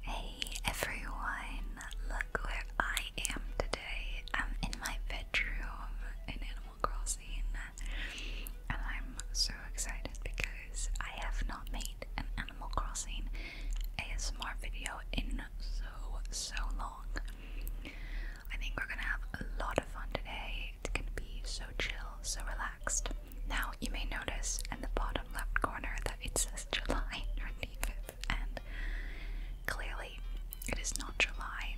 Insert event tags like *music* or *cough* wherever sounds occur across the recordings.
Hey everyone, look where I am today. I'm in my bedroom in Animal Crossing, and I'm so excited because I have not made an Animal Crossing ASMR video in so, so long. I think we're gonna have a lot of fun today. It's gonna be so chill, so relaxed. Now you may notice in the bottom left corner that it says July 25th, *laughs* and clearly it is not July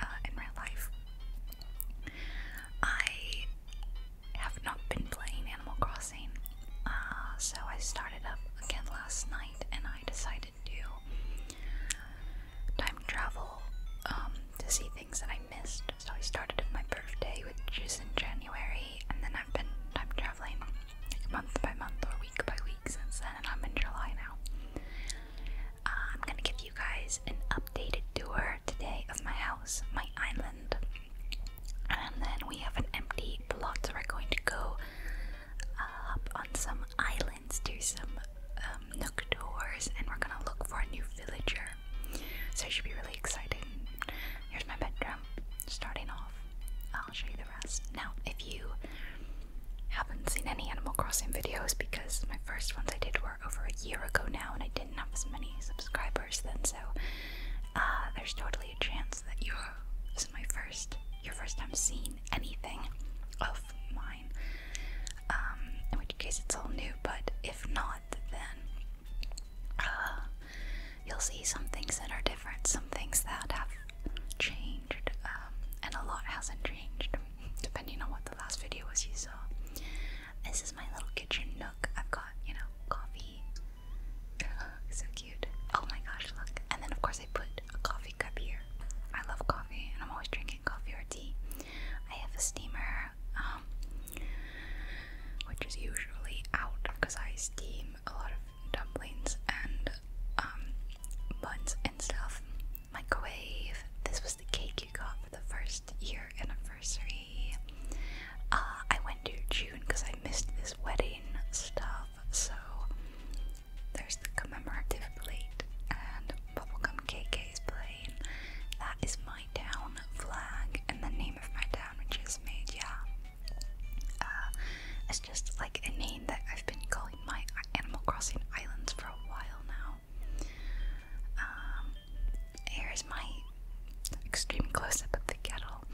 uh, in real life. I have not been playing Animal Crossing, uh, so I started up again last night and I decided to time travel um, to see things that I missed. So I started with my birthday, which is in January and then I've been time traveling month by month or week by week since then, and I'm in July now. Uh, I'm gonna give you guys an updated tour today of my house, my island, and then we have an empty plot, so we're going to go uh, up on some islands do some um, nook doors, and we're gonna look for a new villager. So it should be really exciting. Here's my bedroom starting off. I'll show you the rest. Now, if you haven't seen any Animal Crossing videos, because my first ones I did were over a year ago now and I didn't have as many subscribers then, so uh, there's totally a chance that you this is my first, your first time seeing anything of mine. Um, in which case it's all new, but if not, then uh, you'll see some things that are different, some things that have changed, um, and a lot hasn't changed, depending on what the last video was you saw. This is my little kitchen nook. I've got, you know, coffee. *laughs* so cute. Oh my gosh, look. And then, of course, I put a coffee cup here. I love coffee, and I'm always drinking coffee or tea. I have a steamer. Um, which is usually out because I steam a lot of dumplings and um, buns and stuff. Microwave. This was the cake you got for the first year anniversary. Uh, I went to June because I missed this wedding stuff, so there's the commemorative plate and bubblegum KK is playing. That is my town flag and the name of my town, which is Media. Uh, it's just like a name that I've been calling my Animal Crossing Islands for a while now. Um, here's my extreme close up of the kettle.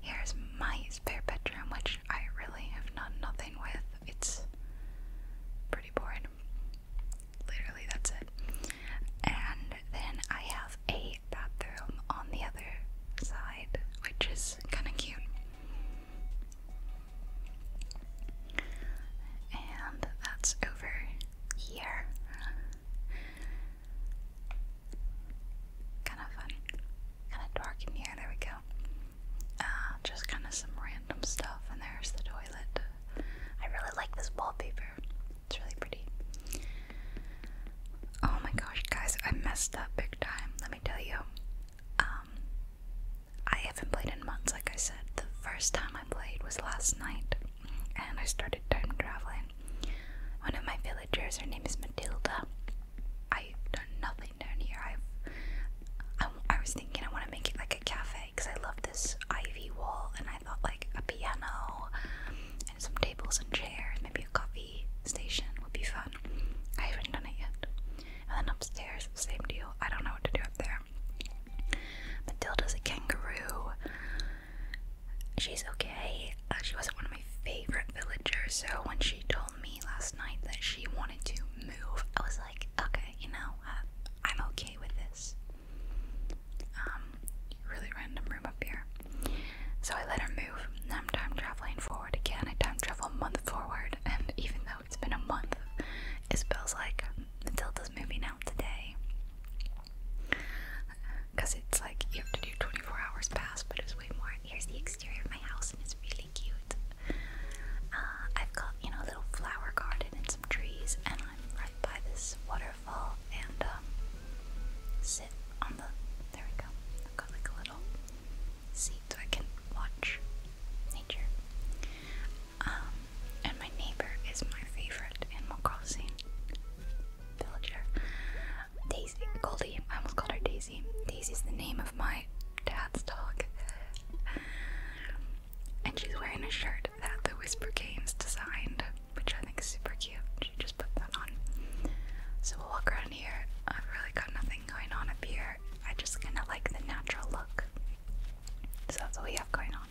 Here's my spare bedroom, which I really have done nothing with. It's pretty boring. Literally, that's it. And then I have a bathroom on the other side, which is kind of cute. And that's over here. Kind of fun. Kind of dark in here. There we go. Uh, just kind of some random stuff. And there's the toilet. I really like this wallpaper. It's really pretty. Oh my gosh, guys, I messed up big time. Let me tell you. Um, I haven't played in months, like I said. The first time I played was last night, and I started time traveling. One of my villagers, her name is Matilda. i done nothing down here. I've, I, I was thinking I want to make it like a cafe because I love this ivy wall, and I thought like a piano and some tables and chairs, maybe a coffee station would be fun. I haven't done it yet. And then upstairs, same deal. I don't know what to do up there. Matilda's a kangaroo. She's okay. Uh, she wasn't one of my favorite villagers, so when she told me last night that she wanted to move, I was like, okay, you know, uh, I'm okay with this. Um, really random room up here. So I let her move, Now I'm time traveling forward again. I time travel a month forward, and even though it's been a month, it feels like Matilda's moving out today. Because it's like you have to do 24 hours past, but it's way more. Here's the exterior of my house, and it's really cute. Uh, I've got, you know, a little flower garden and some trees, and I'm right by this water and um, sit on the. There we go. I've got like a little seat so I can watch nature. Um, and my neighbor is my favorite Animal Crossing villager. Daisy, Goldie. I almost called her Daisy. Daisy's the name of my dad's dog. And she's wearing a shirt that the Whisper Games designed which I think is super cute. She just put that on. So we'll walk around here. I've really got nothing going on up here. I just kind of like the natural look. So that's all we have going on.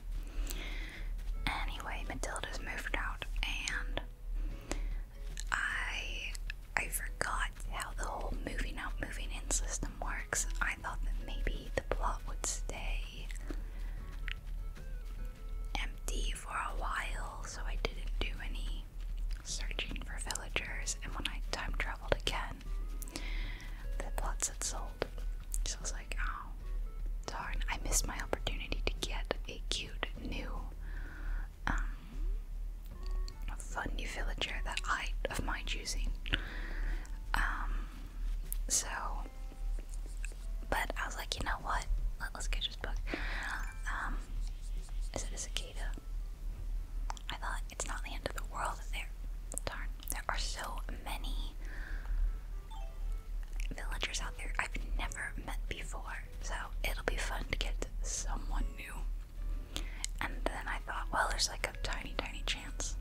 Anyway, Matilda's moved out and I I forgot how the whole moving out, moving in system works. I thought that maybe the plot would stay empty for a while, so I didn't do any searching for villagers. And when I time traveled again, the plots had sold. So I was like, oh, darn, I missed my opportunity to get a cute new um, fun new villager that I of my choosing. Um, so, but I was like, you know what? Let, us get this book. Um, is it a cicada? I thought it's not the end of the world. There, darn, there are so many villagers out there I've never met before. So it'll be fun to get someone new. And then I thought, well, there's like a tiny, tiny chance.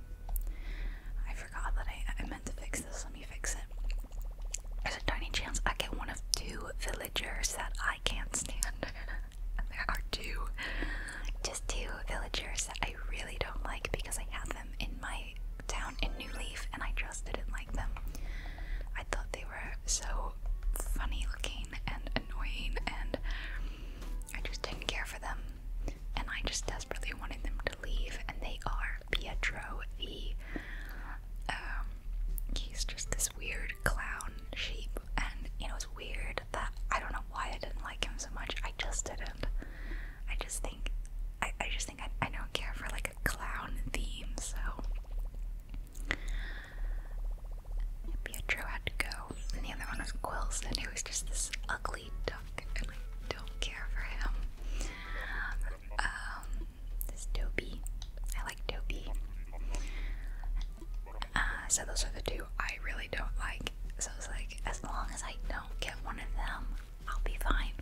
I forgot that I, I meant to fix this. Let me fix it. There's a tiny chance I get one of two villagers that I can't stand. *laughs* there are two. Just two villagers that I really don't like because I had them in my town in New Leaf and I just didn't like them. I thought they were so funny looking and annoying and I just didn't care for them. And I just desperately wanted them to leave, and they are Pietro V. Um, he's just this weird clown sheep, and you know, it's weird that I don't know why I didn't like him so much. I just didn't. I just think, I, I just think I, I don't care for like a clown theme, so. Pietro had to go, and the other one was Quilson, who was just this ugly duck, and I don't care for him. Um, this Dobie. I like Dobie. Uh, so those are the two I really don't like. So it's like, as long as I don't get one of them, I'll be fine.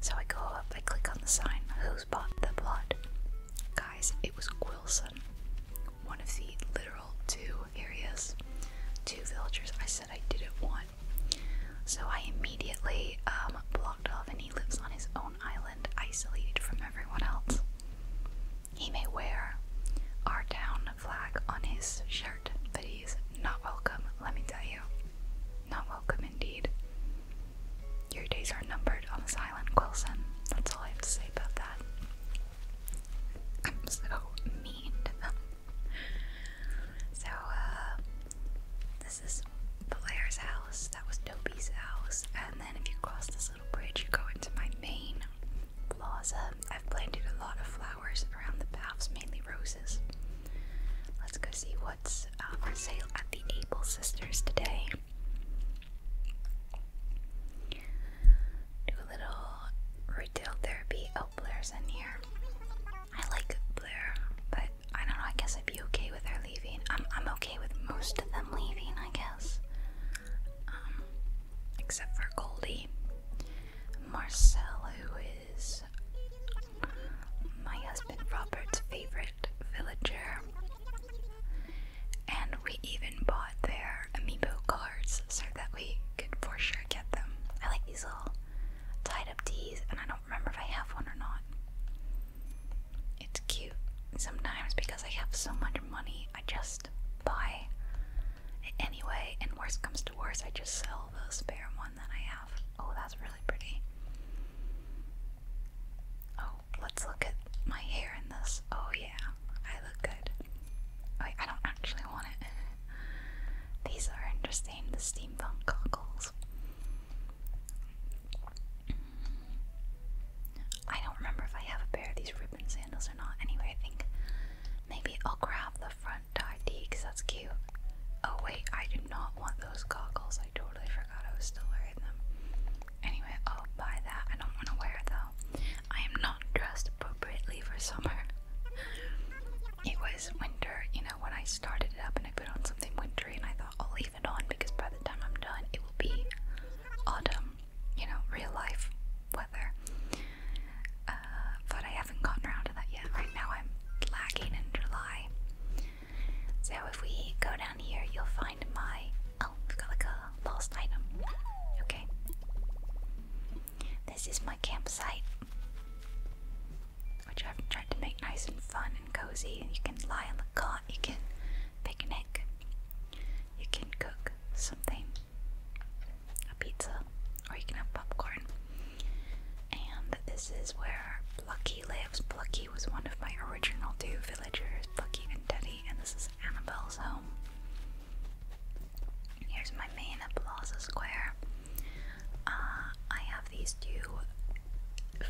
So I go up, I click on the sign, who's bought the blood? Guys, it was Quilson. One of the literal two areas, two villagers I said I didn't want. So I immediately um, blocked off, and he lives on his own island isolated from everyone else. He may wear our town flag on his shirt, but he's not welcome, let me tell you. Not welcome indeed. Your days are numbered on this island, Wilson. That's all I have to say about that. I'm so mean to them. So, uh, this is Blair's house. That was Dopey's house. And then if you cross this little bridge, you go into my main plaza. I've planted a lot of flowers around the paths, mainly roses. Let's go see what's uh, for sale at the Able Sisters today. Do a little retail therapy. Oh, Blair's in here. I like Blair, but I don't know, I guess I'd be okay with her leaving. I'm I'm okay with most of them leaving, I guess. Um, except for Goldie. Marcel, who is my husband Robert's favorite villager. And we even bought their amiibo cards so that we could for sure get them. I like these little tied up D's, and I don't remember if I have one or not. It's cute. Sometimes because I have so much money, I just buy anyway, and worst comes to worst, I just sell the spare one that I have. Oh, that's really pretty. Oh, let's look at my hair in this. Oh yeah, I look good. Wait, I don't actually want it. *laughs* These are interesting, the steampunk goggles. I don't remember if I have a pair of these ribbon sandals or not. Anyway, I think maybe I'll grab the front tie because that's cute. Oh, wait, I do not want those goggles. I totally forgot I was still wearing them. Anyway, I'll buy that. I don't want to wear it though. I am not dressed appropriately for summer. *laughs* It was winter, you know, when I started it up and I put on something wintry and I I'll leave it on because by the time I'm done, it will be autumn, you know, real life weather. Uh, but I haven't gotten around to that yet. Right now, I'm lagging in July. So if we go down here, you'll find my. Oh, we've got like a lost item. Okay. This is my campsite, which I've tried to make nice and fun and cozy. You can lie on the cot, you can picnic, you can cook something a pizza, or you can have popcorn. And this is where Plucky lives. Plucky was one of my original two villagers, Plucky and Teddy, and this is Annabelle's home. Here's my main Plaza Square. Uh, I have these two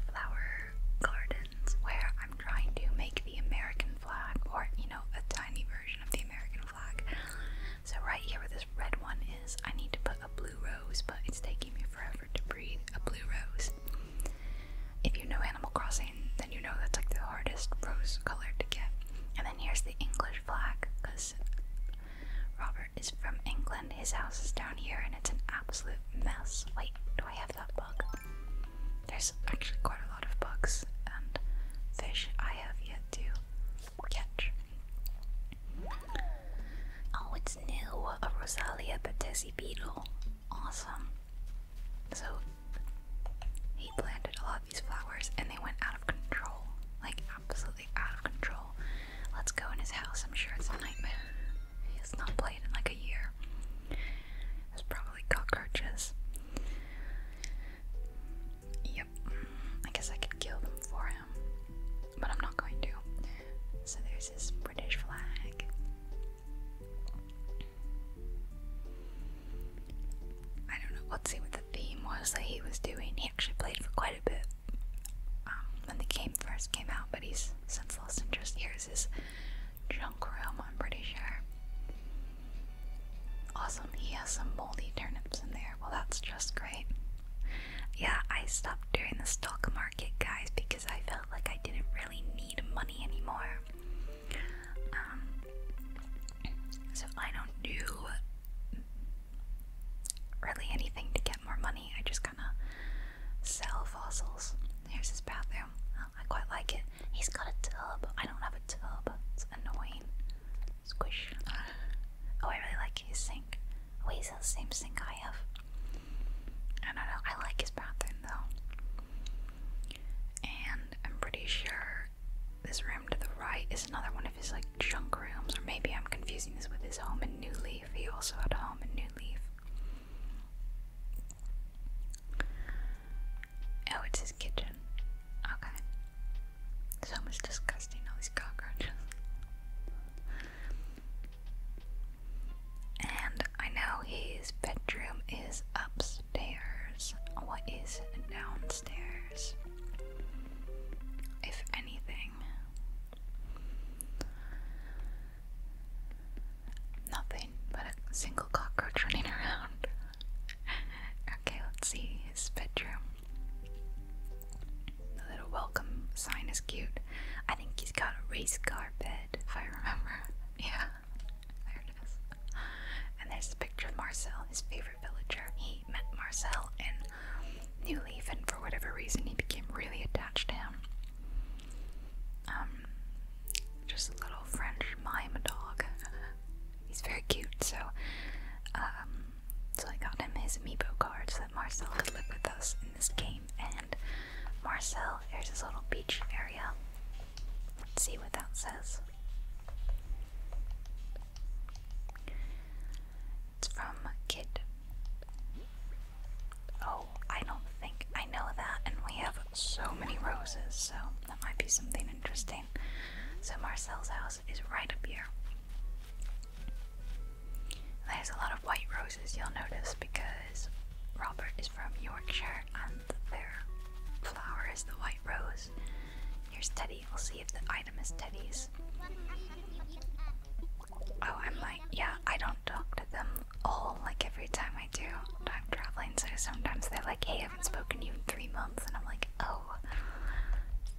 flower gardens where I'm trying to make the American flag or, you know, a tiny version of the American flag. So, right here where this red one is, I need to put a blue rose, but it's taking me forever to breathe a blue rose. If you know Animal Crossing, then you know that's like the hardest rose color to get. And then here's the English flag, because Robert is from England. His house is down here and it's an absolute mess. Wait, do I have that bug. There's actually quite a lot of bugs and fish I have yet to catch. Oh, it's new! A Rosalia Patesi beetle. Awesome. So, he planted a lot of these flowers and they went out of control. Like, absolutely out of control. Let's go in his house, I'm sure it's a nightmare. He's not played in like a year. It's probably cockroaches. Yep, I guess I could kill them for him, but I'm not going to. So there's this British flag. I don't know, let's see what the theme was that he was doing. He actually played for quite a bit um, when the game first came out, but he's since lost interest. Here's his junk room, I'm pretty sure. Awesome, he has some moldy turnips in there. Well, that's just great. Yeah, I stopped doing the stock market, guys, because I felt like I didn't really need money anymore. Um, so I don't do really anything to get more money. I just kind of sell fossils. Here's his bathroom. Oh, I quite like it. He's got a tub. I don't have a tub. It's annoying. Squish. Oh, I really like his sink. Oh, he's the same sink I have. I don't know. I like his bathroom though. And I'm pretty sure this room to the right is another one of his like junk rooms, or maybe I'm confusing this with his home in New Leaf. He also had a home in New Leaf. Oh, it's his kitchen. Okay. So much disgusting, all these cockroaches. And I know his bedroom is upstairs. What is downstairs? If anything. Nothing but a single cockroach running around. okay, let's see his bedroom. The little welcome sign is cute. I think he's got a race car bed, if I remember. *laughs* Yeah, there it is. And there's a picture of Marcel, his favorite villager. He met Marcel in New Leaf, and for whatever reason, he became really attached to him. Um, just a little French mime dog. *laughs* He's very cute, so um, so I got him his amiibo card so that Marcel could live with us in this game. And Marcel, there's his little beach area. Let's see what that says. It's from Kid. Oh, I don't think I know that, and we have so many roses, so that might be something interesting. So, Marcel's house is right up here. There's a lot of white roses, you'll notice, because Robert is from Yorkshire and their flower is the white rose. Here's Teddy, we'll see if the item is Teddy's. Oh, I'm like, yeah, I don't talk to them all like every time I do I'm traveling. So sometimes they're like, "Hey, I haven't spoken to you in three months," and I'm like, "Oh,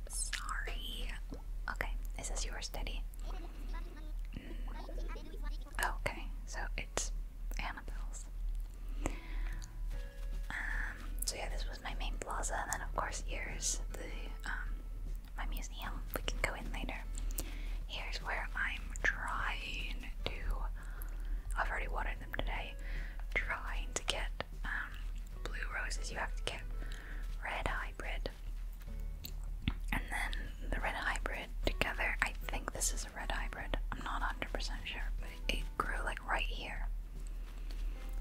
sorry." Okay, is this yours, Teddy? Mm, okay, so it's Annabelle's. Um, so yeah, this was my main plaza, and then of course here's the um, my museum. We can go in later. Here's where I'm trying to. I've already watered them today. Trying to get um, blue roses. You have to get red hybrid, and then the red hybrid together. I think this is a red hybrid. I'm not 100% sure, but it, it grew like right here.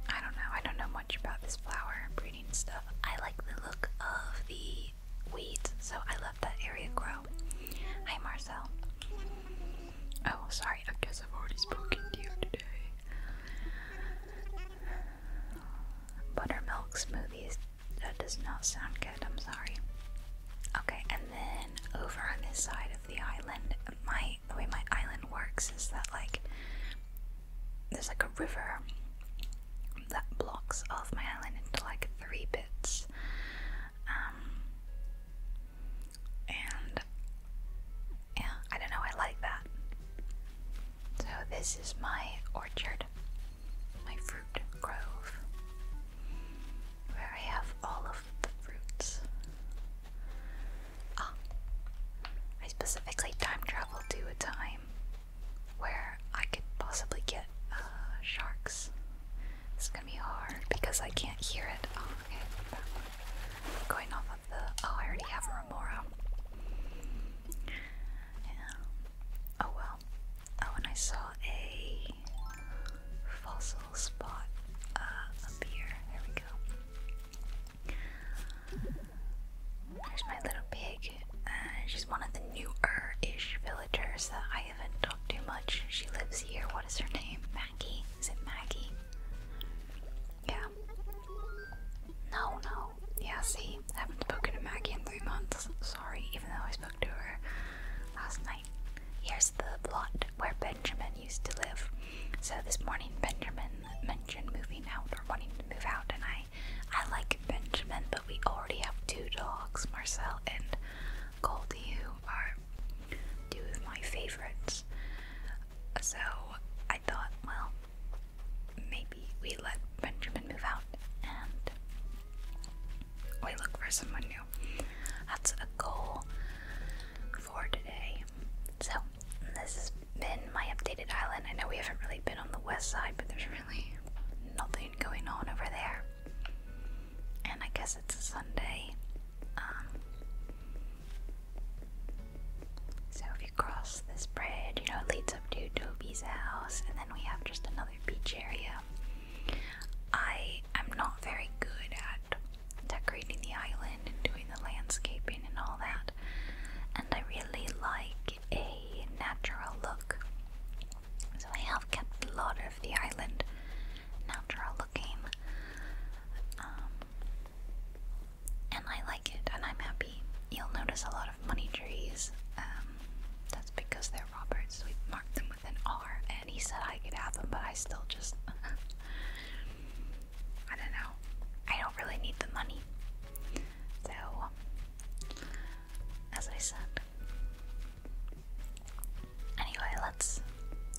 I don't know. I don't know much about this flower breeding stuff. I like the look of the weeds, so I love that area grow. Hi, Marcel. Oh, sorry, I guess I've already spoken to you today. Buttermilk smoothies. That does not sound good, I'm sorry. Okay, and then over on this side of the island, my the way my island works is that like there's like a river that blocks all of my island into like three bits. Um, and yeah, I don't know, I like that. So, this is my orchard, my fruit grove, where I have all of the fruits. Ah, I specifically time traveled to a time where I could possibly get uh, sharks. It's gonna be hard because I can't hear it. Oh, okay. going off of the. Oh, I already have Remora. Yeah. Oh well. Oh, and I saw a fossil spot uh, There we go. There's my little pig. she's one of the newer ish villagers that I haven't talked too much. She lives here. What is her name? Maggie? Is it Maggie? Yeah. No, no. Yeah, see, I haven't spoken to Maggie in three months. Sorry, even though I spoke to her last night. Here's the plot where Benjamin used to live. So this morning Benjamin mentioned moving out or wanting to move out and I I like Benjamin but we already have two dogs, Marcel and Cold You are two of my favorites. So I thought, well, maybe we let Benjamin move out and we look for someone new. That's a goal for today. So this has been my updated island. I know we haven't really been on the west side, but there's really nothing going on over there and I guess it's a Sunday. Um, so if you cross this bridge, you know, it leads up to Toby's house, and then we have just another beach area. I am not very good at decorating the island and doing the landscaping and all that, and I really like a natural look. So I have kept a lot of of the island. all looking. Um, and I like it and I'm happy. You'll notice a lot of money trees. Um, that's because they're Robert's. We marked them with an R and he said I could have them, but I still just. *laughs* I don't know. I don't really need the money. So, as I said, Anyway, let's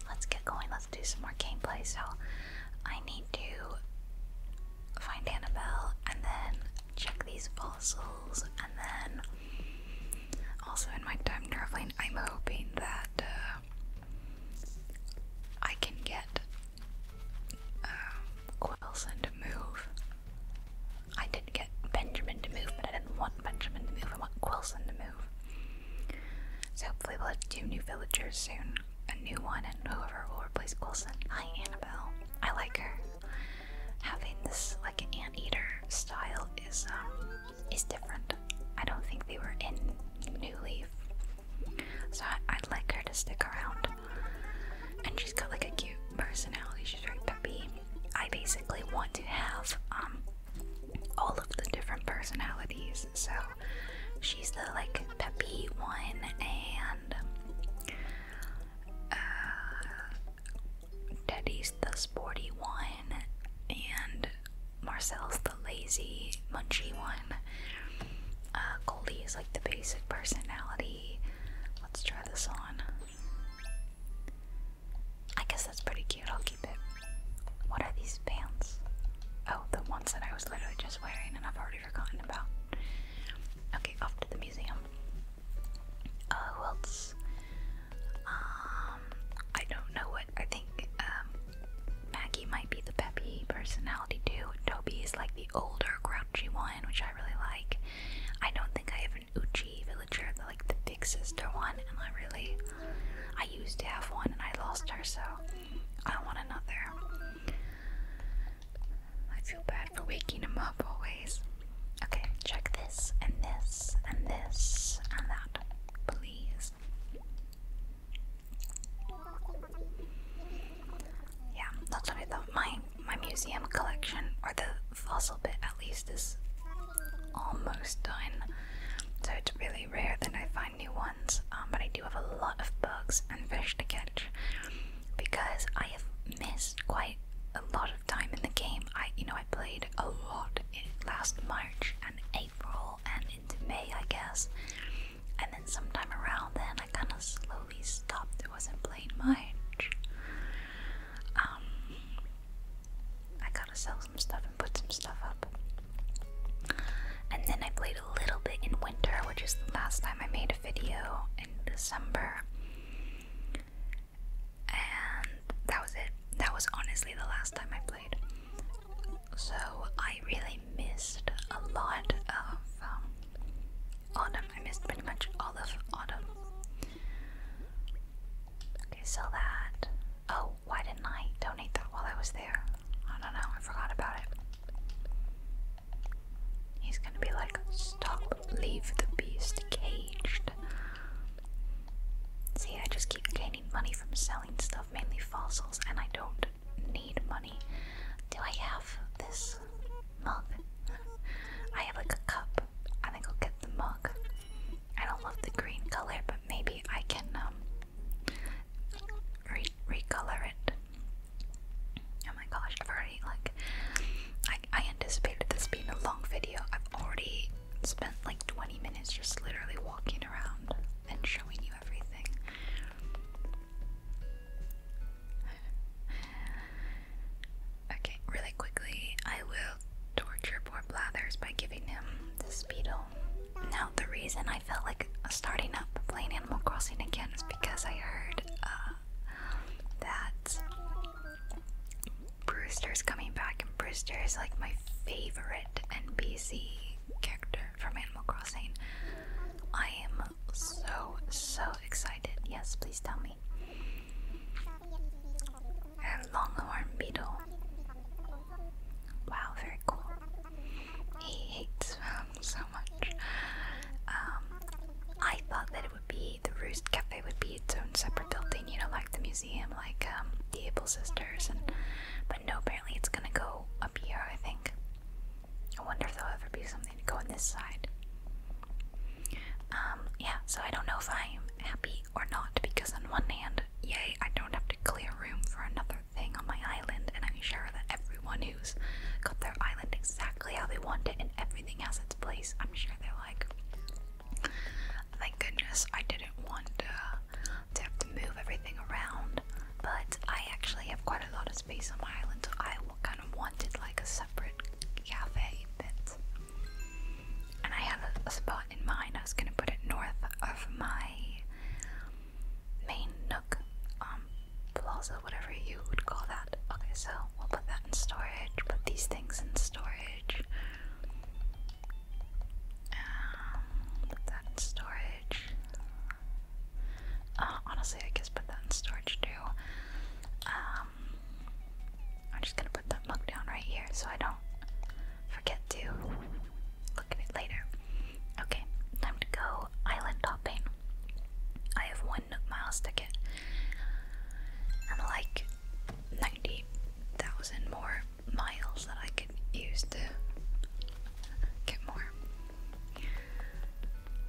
let's get going. Let's do some more gameplay. So I need to find Annabelle and then check these fossils and then also in my time traveling I'm hoping that uh, I can get um, uh, Quilson move I did not get Benjamin to move, but I didn't want Benjamin to move. I want Quilson to move. So hopefully we'll have two new villagers soon. A new one and whoever will replace Quilson. Hi Annabelle. I like her. Having this like an eater style is um is different. I don't think they were in New Leaf. So I, I'd like her to stick around. And she's got like a cute personality. She's very peppy. I basically want to have um all of the different personalities. So she's the like peppy one, and uh, Teddy's the sporty one, and Marcel's the lazy munchy one. Uh, Goldie is like the basic personality. Let's try this on. I guess that's pretty cute. I'll keep it. What are these pants? Oh, the ones that I was literally just wearing and I've already forgotten about. Okay, off to the museum. Uh, who else? Um, I don't know what. I think um, Maggie might be the peppy personality too. Toby is like the older, grouchy one, which I really like. I don't think I have Uchi villager, like the big sister one, and I really I used to have one and I lost her, so I want another. I feel bad for waking him up always. Okay, check this and this and this and that, please. Yeah, that's what I thought. My my museum collection or the fossil bit at least is almost done. So it's really rare that I find new ones, um, but I do have a lot of bugs and fish to catch because I have missed quite a lot of time in the game. I, you know, I played a lot in last March and April and into May, I guess. And then sometime around then, I kind of slowly stopped. It wasn't playing much. Um, I gotta sell some stuff and put some stuff up. And then I played a little bit in winter, which is the last time I made a video in December. And that was it. That was honestly the last time I played. So I really missed a lot of um, autumn. I missed pretty much all of autumn. Okay, sell that. Oh, why didn't I donate that while I was there? I don't know, I forgot about it. He's gonna be like, stop, leave the beast caged. See, I just keep gaining money from selling stuff, mainly fossils, and I don't need money. Do I have this mug? *laughs* I have like a cup. I think I'll get the mug. I don't love the green color, but maybe I can um, recolor it. Oh my gosh, I've already like I, I anticipated this being a long video. I've already spent like 20 minutes just literally walking around and showing you everything. Okay, really quickly, I will torture poor Blathers by giving him this beetle. Now, the reason I felt like starting up playing Animal Crossing again is because I heard uh, that Brewster's coming back, and Brewster is like my favorite NPC character from Animal Crossing. I am so, so excited. Yes, please tell me and longhorn beetle. Wow, very cool. He hates them so much. Um, I thought that it would be the Roost Cafe would be its own separate building, you know, like the museum, like um, the Able Sisters, and but no, apparently it's gonna go up here. I think. I wonder if there'll ever be something to go on this side. Um, yeah, so I don't know if I'm happy or not, because on one hand, yay, I don't have to clear room for another thing on my island, and I'm sure that everyone who's got their island exactly how they want it and everything has its place, I'm sure they're like, thank goodness I didn't want uh, to have to move everything around, but I actually have quite a lot of space on my island, so I kind of wanted like a separate cafe bit. And I have a, spot in mind. I was gonna put it north of my main nook, um, plaza, whatever you would call that. Okay, so we'll put that in storage. Put these things in storage. Um, put that in storage. Uh, honestly, I guess put that in storage too. Um, I'm just gonna put that mug down right here so I don't forget to look at it later. Okay, time to go island hopping. I have one Miles ticket. I'm like 90,000 more miles that I could use to get more.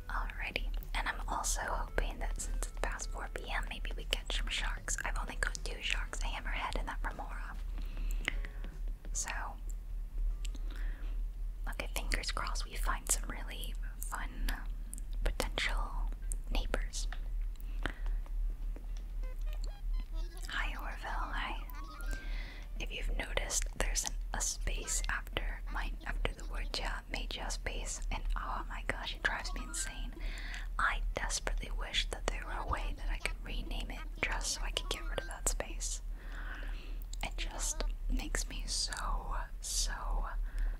Alrighty, and I'm also hoping that since it's past 4 p.m., maybe we catch some sharks. I've only got two sharks, hammerhead, and that remora. So, okay, fingers crossed we find some really fun potential neighbors. Hi Orville, hi. If you've noticed, there's a space after mine, after the word ja, major space, and oh my gosh, it drives me insane. I desperately wish that there were a way that I could rename it just so I could get rid of that space. It just makes me so, so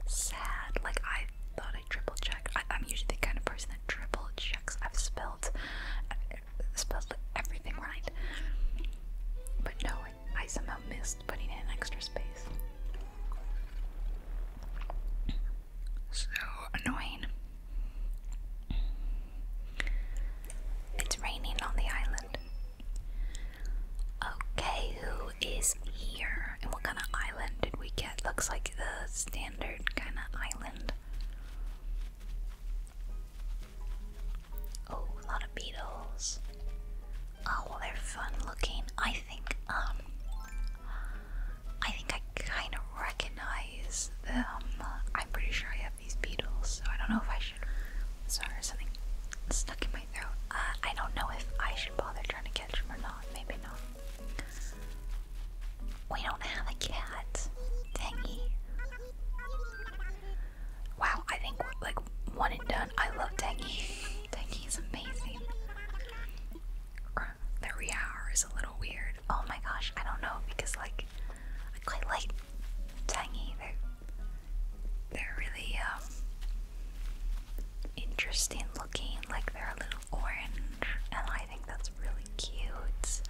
sad. Like, I thought I triple checked. I, am usually the kind of person that triple checks. I've spelled, i uh, spelled everything right. But no, I, I somehow missed putting in an extra space. So annoying. It's raining on the island. Okay, who is here? And what kind of island did we get? Looks like the standard kind of island. Oh, a lot of beetles. Oh, they're fun looking. I I think um I think I kind of recognize them. I'm pretty sure I have these beetles, so I don't know if I should. Sorry, something stuck in my throat. Uh, I don't know if I should bother trying to catch them or not. Maybe not. We don't have a cat. Dangy. Wow, I think like one and done. I love Tangy. Tangy *laughs* is amazing hour. The a little weird. Oh my gosh, I don't know because like I quite like tangy. They're they're really um, interesting looking. Like they're a little orange, and I think that's really cute.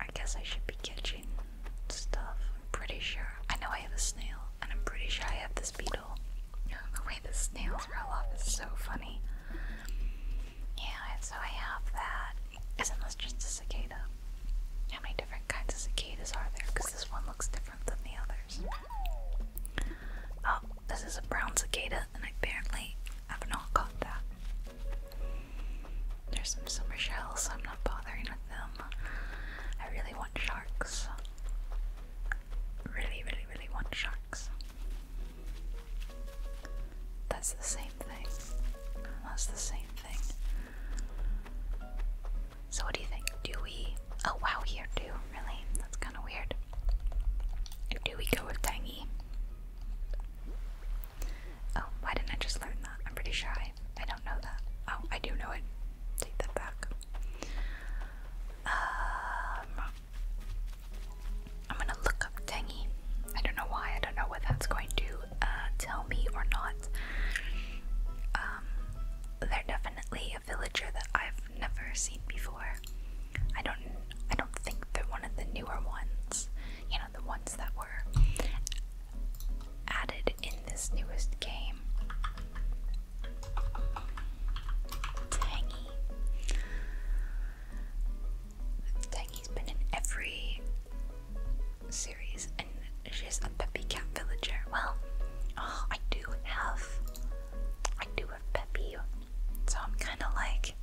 I guess I should be catching stuff. I'm pretty sure. I know I have a snail, and I'm pretty sure I have this beetle. The way the snails roll off is so funny. Yeah, so I have that. Isn't this just a cicada? How many different kinds of cicadas are there? Because this one looks different than the others. Oh, this is a brown cicada, and apparently I've not caught that. There's some summer shells, I'm not bothering with them. I really want sharks. Really, really, really want sharks. That's the same thing. That's the same thing. So, what do you think? Do we. Oh, wow, here too. Really? That's kind of weird. Do we go with tangy? Oh, why didn't I just learn that? I'm pretty sure I, don't know that. Oh, I do know it. Take that back. Um, I'm gonna look up tangy. I don't know why. I don't know what that's going to uh, tell me or not. Um, they're definitely a villager that I've never seen before. I don't. I don't think they're one of the newer ones. You know, the ones that were added in this newest game. Tangy. Tangy's been in every series, and she's a Peppy Cat villager. Well, oh, I do have, I do have Peppy, so I'm kind of like,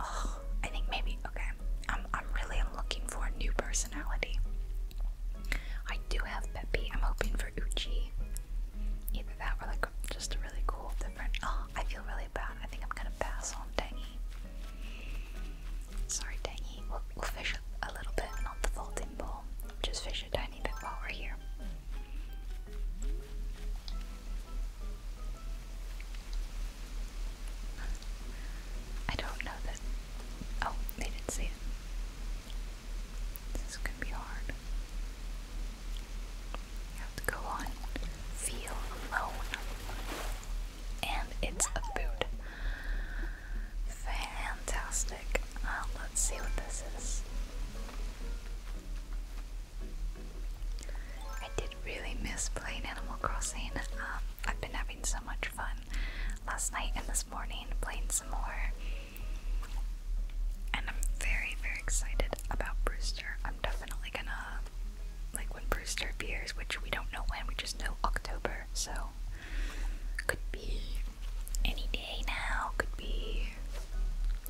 oh, I think maybe okay. I'm, I'm really I'm looking for a new personality. I do have Peppy. I'm hoping for Uchi. Either that or like just really cool different. Oh, I feel really bad. I think I'm gonna pass on Tangy. Sorry, Tangy. We'll, fish a, a little bit, not the full bowl. Just fish a tiny bit while we're here. I don't know this. Oh, they didn't see it. This is gonna be hard. You have to go on. Feel alone. And it's a boot. Fantastic. Uh, let's see what this is. I did really miss playing Animal Crossing. Um, I've been having so much fun last night and this morning playing some more and I'm very, very excited about Brewster. I'm definitely gonna, like, when Brewster appears, which we don't know when, we just know October, so could be any day now, could be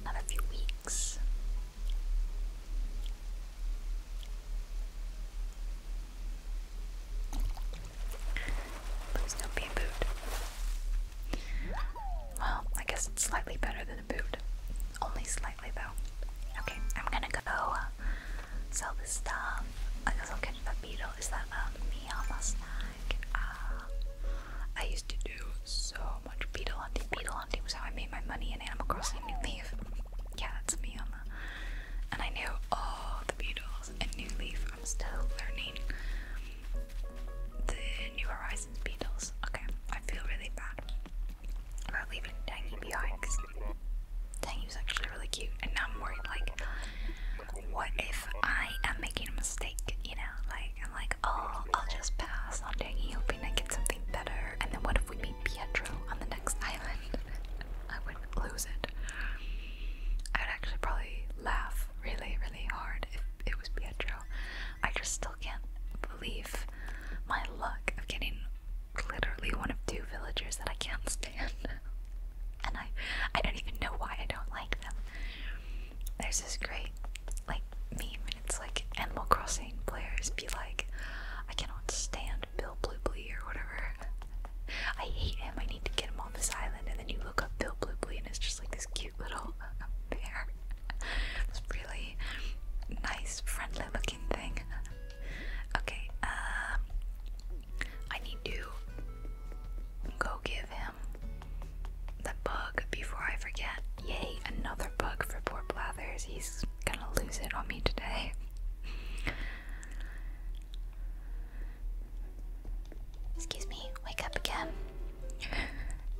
another few weeks. Please don't be a boot. Well, I guess it's slightly better than only slightly though. Okay, I'm gonna go uh, sell I guess I'll catch that beetle. Is that a um, Miyama snack? Uh, I used to do so much beetle hunting. Beetle hunting was how I made my money in Animal Crossing New Leaf. Yeah, that's a Miyama. And I knew all the beetles in New Leaf. I'm still learning the New Horizons beetles. Okay, I feel really bad about leaving Tangy behind because Tangy was actually really cute, and now I'm worried like, what if I am making a mistake? You know, like I'm like, oh, I'll just pass on Tangy, hoping I get something better, and then what if we meet Pietro on the next island? *laughs* I would lose it. I would actually probably laugh really, really hard if it was Pietro. I just still can't believe my luck of getting literally one of two villagers that I can't stand. *laughs* and I I don't even know why I don't like them. There's this great like meme and it's like Animal Crossing players be like, I cannot stand Bill Blue or whatever. *laughs* I hate him, I need to get him off this island and then you look up Bill Blue and it's just like this cute cute little bear. Uh, really nice, friendly looking thing. Okay, um, I need to go give him the bug before I forget. Yay, another bug for poor Blathers. He's gonna lose it on me today. Excuse me, wake up again.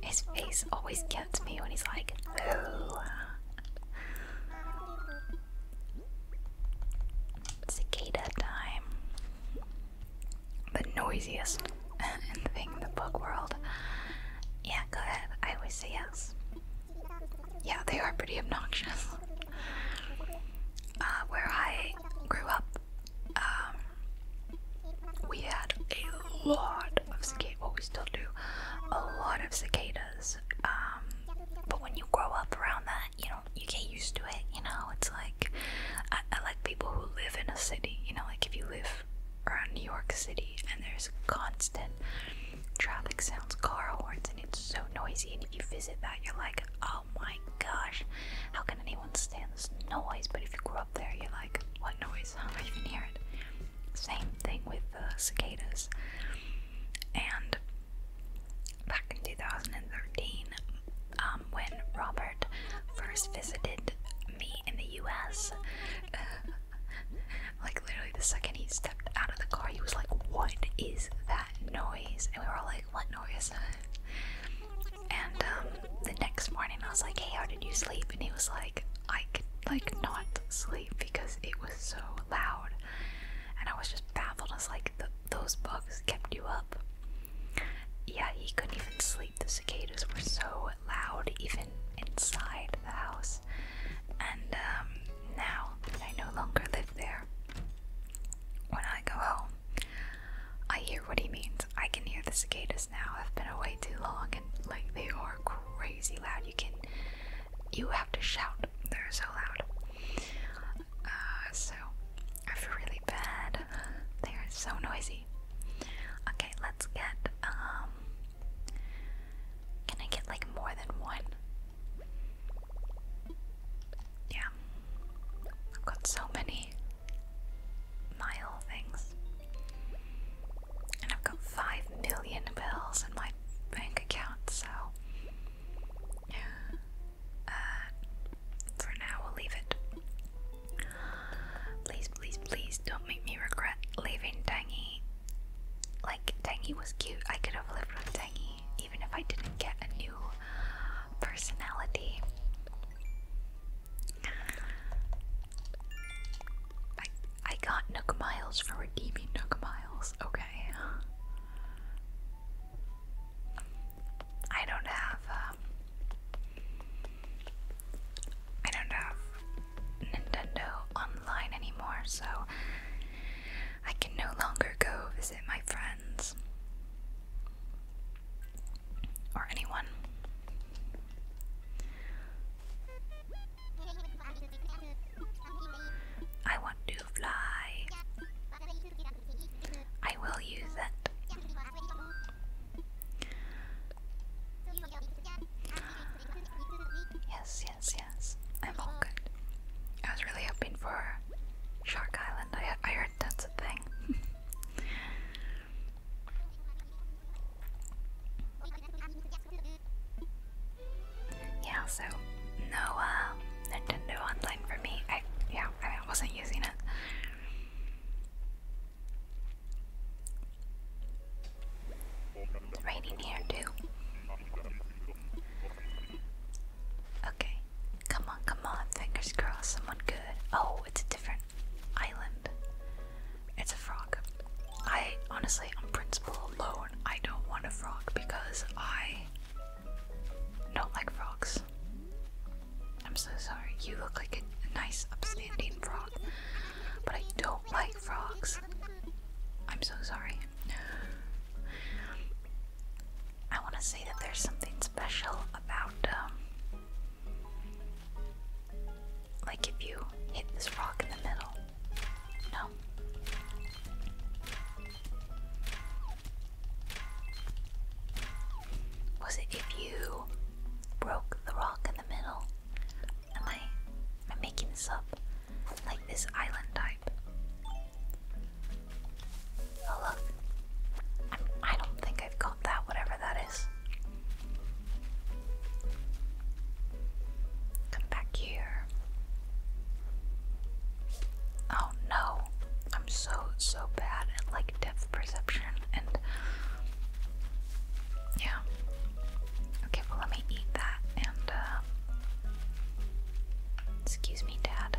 His face always gets me when he's like, oh. Cicada time. The noisiest *laughs* thing in the book world. Yeah, go ahead. I always say yes. Yeah, they are pretty obnoxious. *laughs* Uh, where I grew up, um, we had a lot of cicadas. Well, we still do a lot of cicadas. Um, but when you grow up around that, you know, you get used to it. You know, it's like like people who live in a city. You know, like if you live around New York City and there's constant traffic sounds, car horns, and it's so noisy. And if you visit that, you're like, oh my gosh, how can anyone stand this noise? But if you grew up there, you're like, what noise? I don't even hear it. Same thing with the cicadas. And back in 2013, um, when Robert first visited me in the US, *laughs* like literally the second he stepped out of the car, he was like, What is that noise? And we were all like, What noise? And um, the next morning, I was like, Hey, how did you sleep? And he was like, I could like not sleep because it was so loud, and I was just baffled. As like those bugs kept you up. Yeah, he couldn't even sleep. The cicadas were so loud, even inside the house. And um, now I no longer live there, when I go home, I hear what he means. I can hear the cicadas this now. I've been away too long and like they are crazy loud. You can you have to shout. They're so loud. Uh, so I feel really bad. They are so noisy. Okay, let's get um Can I get like more than one? Yeah. I've got so many mile things. And I've got 5 million bills in my bank account, so. Uh, for now, we'll leave it. Please, please, please don't make me regret leaving Tangy. Like, Tangy was cute. I could have lived with Tangy even if I didn't get a new personality. I I got Nook Miles for redeeming Nook Miles. Okay. I don't have. Um, I don't have Nintendo Online anymore, so I can no longer go visit my friends or anyone. I want to fly. I will use it. Yes, yes, yes. I'm all good. I was really hoping for Shark Island. I, I heard that's a thing. *laughs* Yeah, so no Nintendo Online for me. I yeah, I wasn't using it. Right here too. Okay, come on, come on. Fingers crossed, someone good. Oh, it's a different island. It's a frog. I honestly, on principle alone, I don't want a frog because I don't like frogs. I'm so sorry. You look like a nice, upstanding frog, but I don't like frogs. I'm so sorry. I want to say that there's something special about um, like if you hit this rock in the middle. No. Was it if you broke the rock in the middle? Am I am I making this up? Like this island type. Oh look. I'm I do not think I've got that, whatever that is. Come back here. Oh no, I'm so, so bad at like depth perception and. Yeah. Okay, well, let me eat that and, uh, Excuse me, Dad.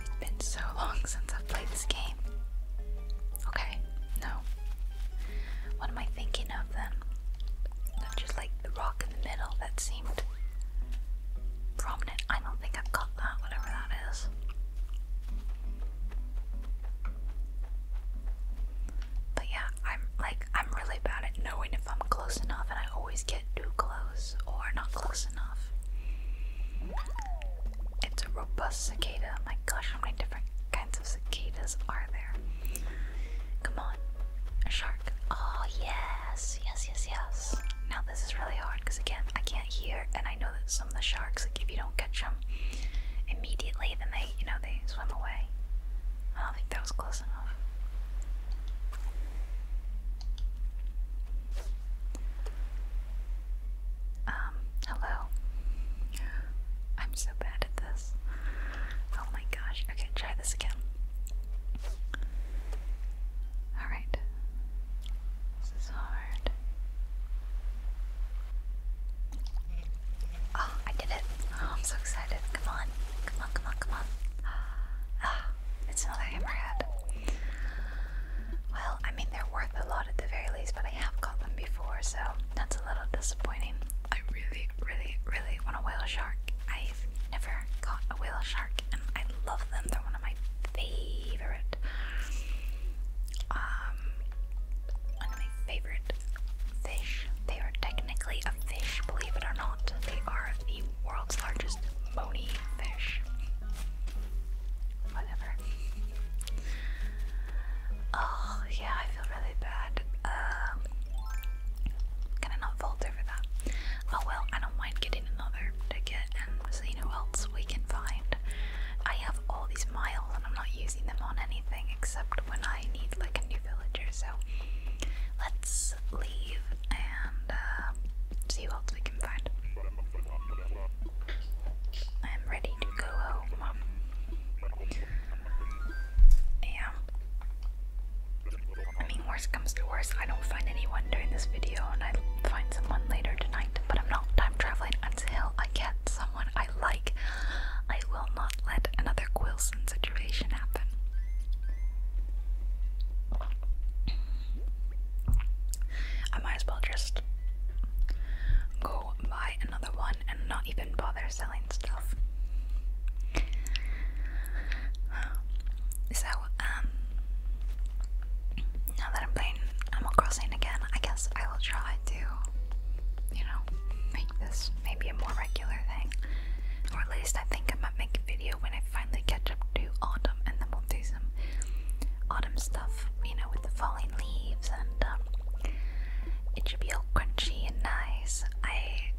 It's been so long since I've played this game. Okay, no. What am I thinking of then? just like the rock in the middle that seemed prominent. I don't think I've got that, whatever that is. But yeah, I'm like I'm really bad at knowing if I'm close enough, and I always get too close or not close enough. It's a robust cicada. Oh my gosh, how many different kinds of cicadas are there? Come on, a shark. Oh yes, yes, yes, yes. Now this is really hard because again, I can't hear, and I know that some of the sharks, like if you don't catch them immediately, then they, you know, they swim away. I don't think that was close enough. Um, hello. I'm so bad at this. Oh my gosh. Okay, try this again. Alright. This is hard. Oh, I did it. Oh, I'm so excited. Come on. Come on, come on, come on. Ah, it's another hammerhead. Well, I mean, they're worth a lot at the very least, but I have caught them before, so that's a little disappointing. I really, really, really want a whale shark. I've never caught a whale shark, and I love them. They're one of my favorite. Um, one of my favorite fish. They are technically a fish, believe it or not. They are the world's largest bony fish. Whatever. Oh, yeah, I feel really bad. Um, can I not falter for that? Oh well, I don't mind getting another ticket and seeing who else we can find. I have all these miles and I'm not using them on anything except when I need like a new villager, so let's leave and uh, see what we can find. I'm ready to go home. Yeah. I mean, worst comes to worst, I don't find anyone during this video, and I find someone later tonight. But I'm not time traveling until I get someone I like. I will not let another Quillson situation happen. I might as well just go buy another one and not even bother selling stuff. So, um, now that I'm playing Animal Crossing again, I guess I will try to, you know, make this maybe a more regular thing. Or at least I think I might make a video when I finally catch up to autumn and then we'll do some autumn stuff, you know, with the falling leaves and um, it should be all crunchy and nice. I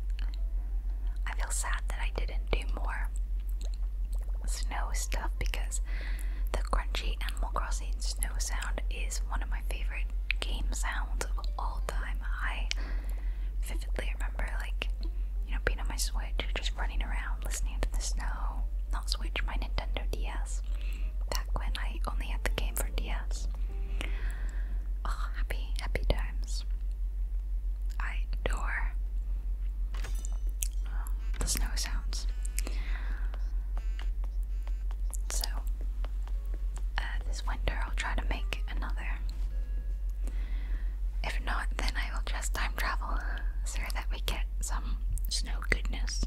I feel sad that I didn't do more snow stuff because the crunchy Animal Crossing snow sound is one of my favorite game sounds of all time. I vividly remember, like, you know, being on my Switch, just running around, listening to the snow. Not Switch, my Nintendo DS. Back when I only had the game for DS. Oh, happy, happy times. I adore um, the snow sounds. So, uh, this winter I'll try to make another. If not, then I will just time travel *laughs* so that we get some snow goodness.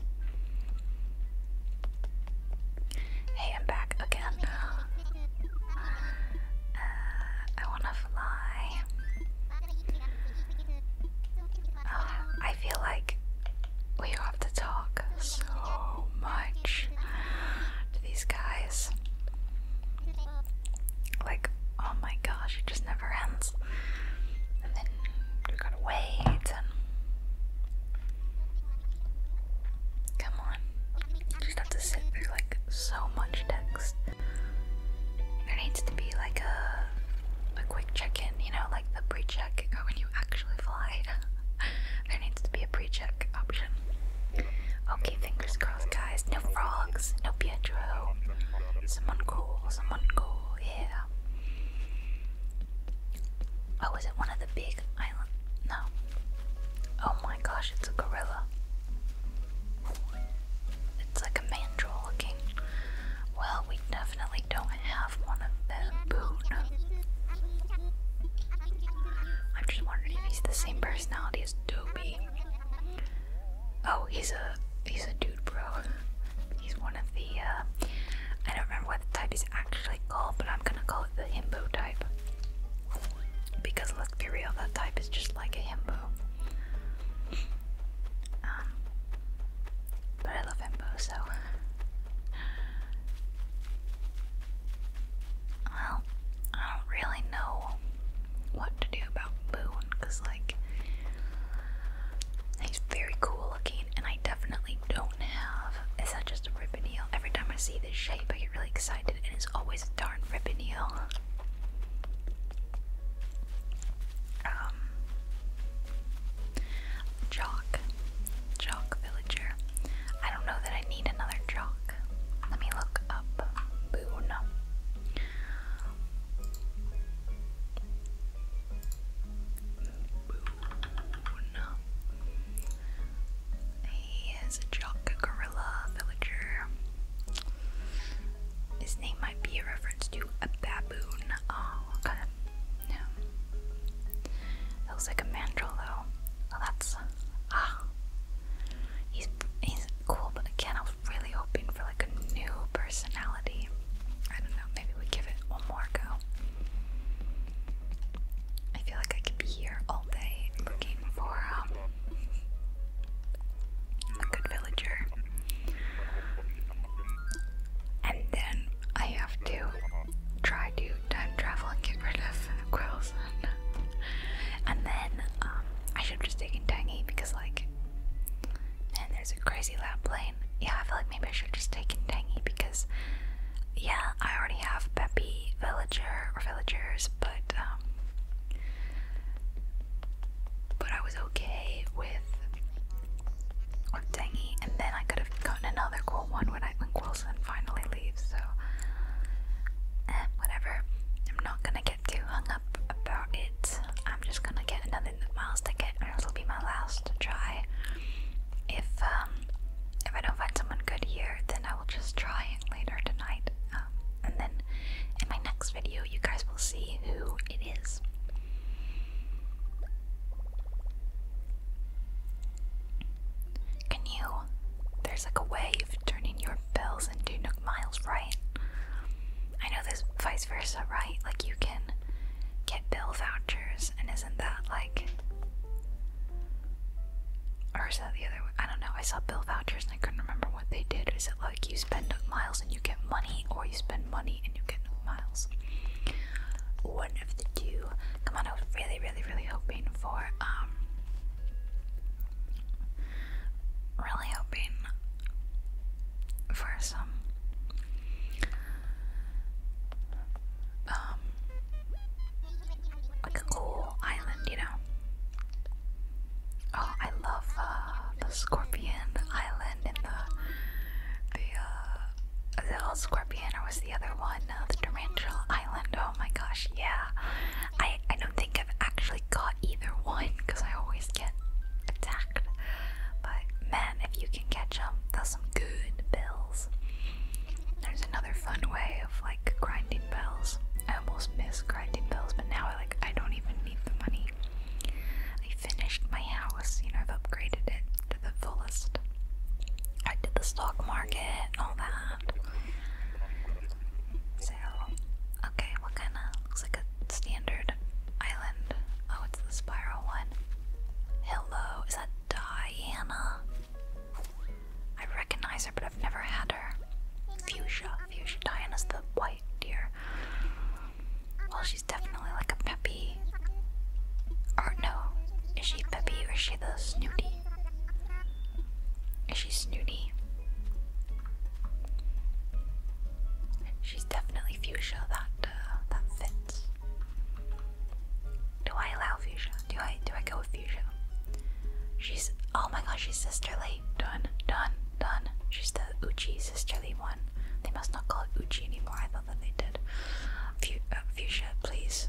Hey, I'm back again. Uh, uh, I wanna fly. Oh, I feel like we have to talk so much to these guys. Like, oh my gosh, it just never ends. And then you gotta wait and. Come on. You just have to sit through like so much text. There needs to be like a a quick check-in, you know, like the pre-check or when you actually fly. *laughs* there needs to be a pre-check option. Okay, fingers crossed, guys. No frogs, no Pietro. Someone cool, someone cool, yeah. Oh, is it one of the big island? No. Oh my gosh, it's a gorilla. It's like a mandrill looking. Well, we definitely don't have one of them. Boon. I'm just wondering if he's the same personality is Oh, he's a he's a dude, bro. He's one of the uh, I don't remember what type is actually called, but I'm gonna call it the himbo type because let's be real, that type is just like a himbo. Um, but I love himbo so. Well, I don't really know what to do about Boone because, like, he's very cool looking, and I definitely don't have. Is that just a ribbon heel? Every time I see this shape, I get really excited, and it's always a darn ribbon heel. Um, Jock, Jock Villager. I don't know that I need another chalk. Let me look up He is a jock gorilla villager. His name might be a reference to a baboon. Oh, okay. Yeah. Feels like a mandrill though. Well, that's. Ah, He's he's cool, but again, I was really hoping for like a new personality. I don't know, maybe we give it one more go. I feel like I could be here all day looking for um, a good villager. And then I have to try to time travel and get rid of Quills. *laughs* And then um, I should have just taken Tangy because, like, man, there's a crazy lap plane. Yeah, I feel like maybe I should have just taken Tangy because, yeah, I already have Peppy, Villager, or Villagers, but, um, but I was okay with, with and then I could have gotten another cool one when I when Quilson finally leaves so eh, whatever. I'm not gonna get too hung up about it. I'm just gonna get another miles ticket, and it'll be my last try. If um, if I don't find someone good here, then I will just try it later tonight, um, and then in my next video, you guys will see who it is. Can you? There's like a wave turning your bills and two Nook Miles, right? I know this vice versa, right? Like you can get bill vouchers, and isn't that like. Or is that the other way? I don't know. I saw bill vouchers and I couldn't remember what they did. Is it like you spend Nook Miles and you get money, or you spend money and you get Nook Miles? One of the two. Come on, I was really, really, really hoping for um really hoping for some um like a cool island, you know. Oh, I love uh, the Scorpion Island in the the uh Scorpion or was the other one, uh, the Tarantula Oh my gosh, yeah. I, I don't think I've actually got either one because I always get attacked. But man, if you can catch them, that's some good bells. There's another fun way of like grinding bells. I almost miss grinding bells, but now I like I don't even need the money. I finished my house, you know, I've upgraded it to the fullest. I did the stock market and all that. Okay, what kind of looks like a standard island? Oh, it's the spiral one. Hello, is that Diana? I recognize her, but I've never had her. Fuchsia, fuchsia. Diana's the white deer. Well, she's definitely like a peppy. Or no, is she peppy or is she the snooty? Is she snooty? She's definitely fuchsia. That uh, that fits. Do I allow fuchsia? Do I do I go with fuchsia? She's oh my gosh, she's sisterly. Done, done, done. She's the Uchi sisterly one. They must not call it Uchi anymore. I thought that they did. Uh, fuchsia, please.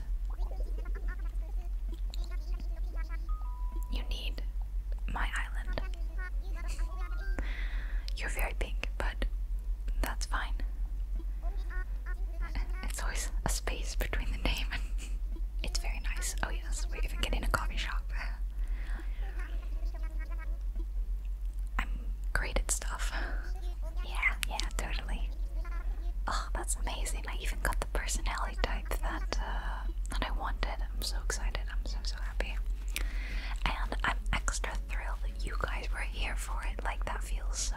You need my island. You're very pink, but that's fine. It's always a space between the name *laughs* it's very nice. Oh yes, we even get in a coffee shop. I'm great at stuff. *laughs* Yeah, yeah, totally. Oh, that's amazing amazing. I even got the personality type that uh, that I wanted. I'm so excited. I'm so so happy. And I'm extra thrilled that you guys were here for it. Like that feels so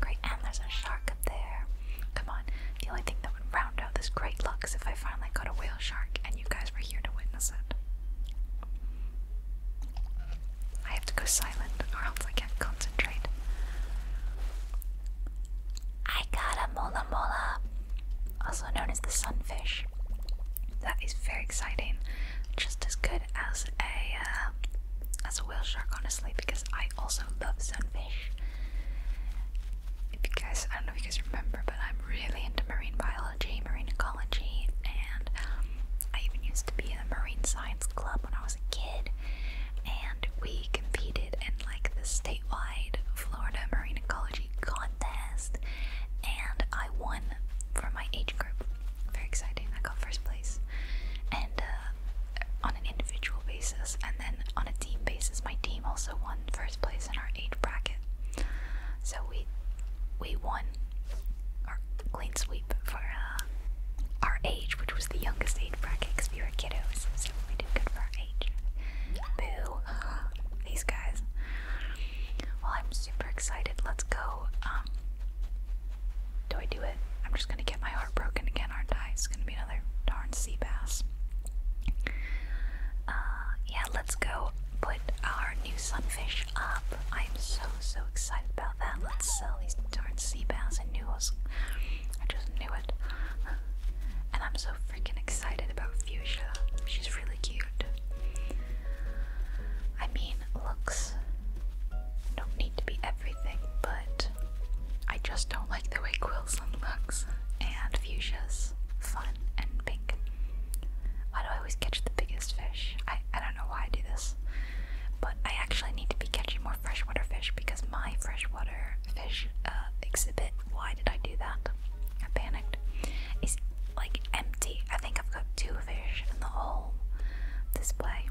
great. And there's a shark up there. Come on. The only thing that would round out this great luck is if I finally got a whale shark and you guys were here to witness it. I have to go silent or else I can't concentrate. I got a mola mola also known as the sunfish. That is very exciting, just as good as a uh, as a whale shark, honestly, because I also love sunfish. If you guys, I don't know if you guys remember, but I'm really into marine biology, marine ecology, and I even used to be in a marine science club when I was a kid, and we she competed in like the statewide Florida marine ecology contest, and I won for my age group. Very exciting! I got first place, and uh, on an individual basis, and then on a team basis, my team also won first place in our age bracket. So we we won our clean sweep for uh, our age, which was the youngest age bracket because we were kiddos, so we did good for age. Boo! *sighs* These guys. Well, I'm super excited. Let's go. Um, do I do it? I'm just gonna get my heart broken again, aren't I? It's gonna be another darn sea bass. Uh, yeah, let's go put our new sunfish up. I'm so so excited about that. Let's sell these darn sea bass. I knew I just knew it. And I'm so freaking excited about Fuchsia. She's really cute. I mean, looks don't need to be everything, but I just don't like the way Quilson looks. And Fuchsia's fun and pink. Why do I always catch the biggest fish? I, I don't know why I do this. But I actually need to be catching more freshwater fish because my freshwater fish uh, exhibit. Why did I do that? I panicked. It's like empty. I think I've got two fish in the whole display.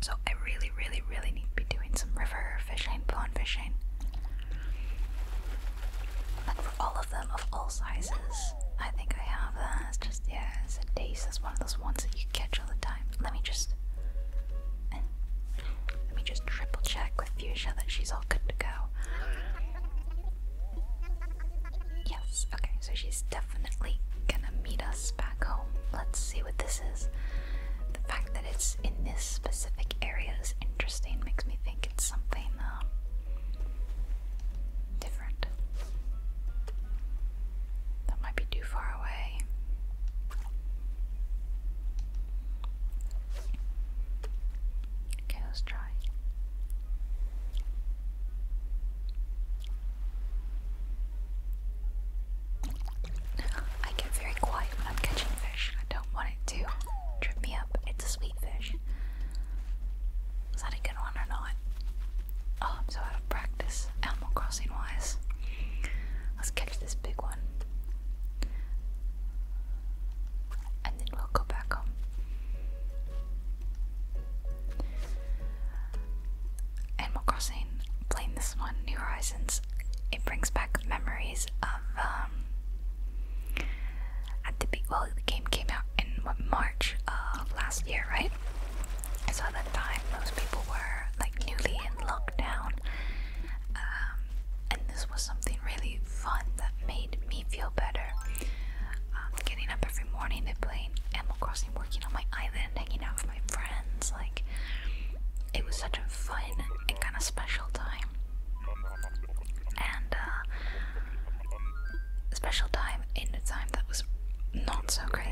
So I really, really, really need to be doing some river fishing, pond fishing. for all of them, of all sizes. I think I have uh, that. just, yeah, it's a daze. one of those ones that you catch all the time. Let me just. Let me just triple check with Fuchsia that she's all good to go. Yes, okay, so she's definitely gonna meet us back home. Let's see what this is. The fact that it's in this specific area is interesting, makes me think it's something um, different. That might be too far away. Okay, let's try. I get very quiet when I'm catching fish. I don't want it to trip me up. It's a sweet fish. Is that a good one or not? Oh, I'm so out of practice, Animal Crossing wise. Let's catch this big one and then we'll go back home. Animal Crossing, playing this one, New Horizons, it brings back memories of um, at the be well the game came out in March of last year, right? So at that time most people were like newly in lockdown um, and this was something really fun that made me feel better. Um, getting up every morning playing Animal Crossing, working on my island, hanging out with my friends. Like, it was such a fun and kind of special time. And, uh, special time in a time that was not so great.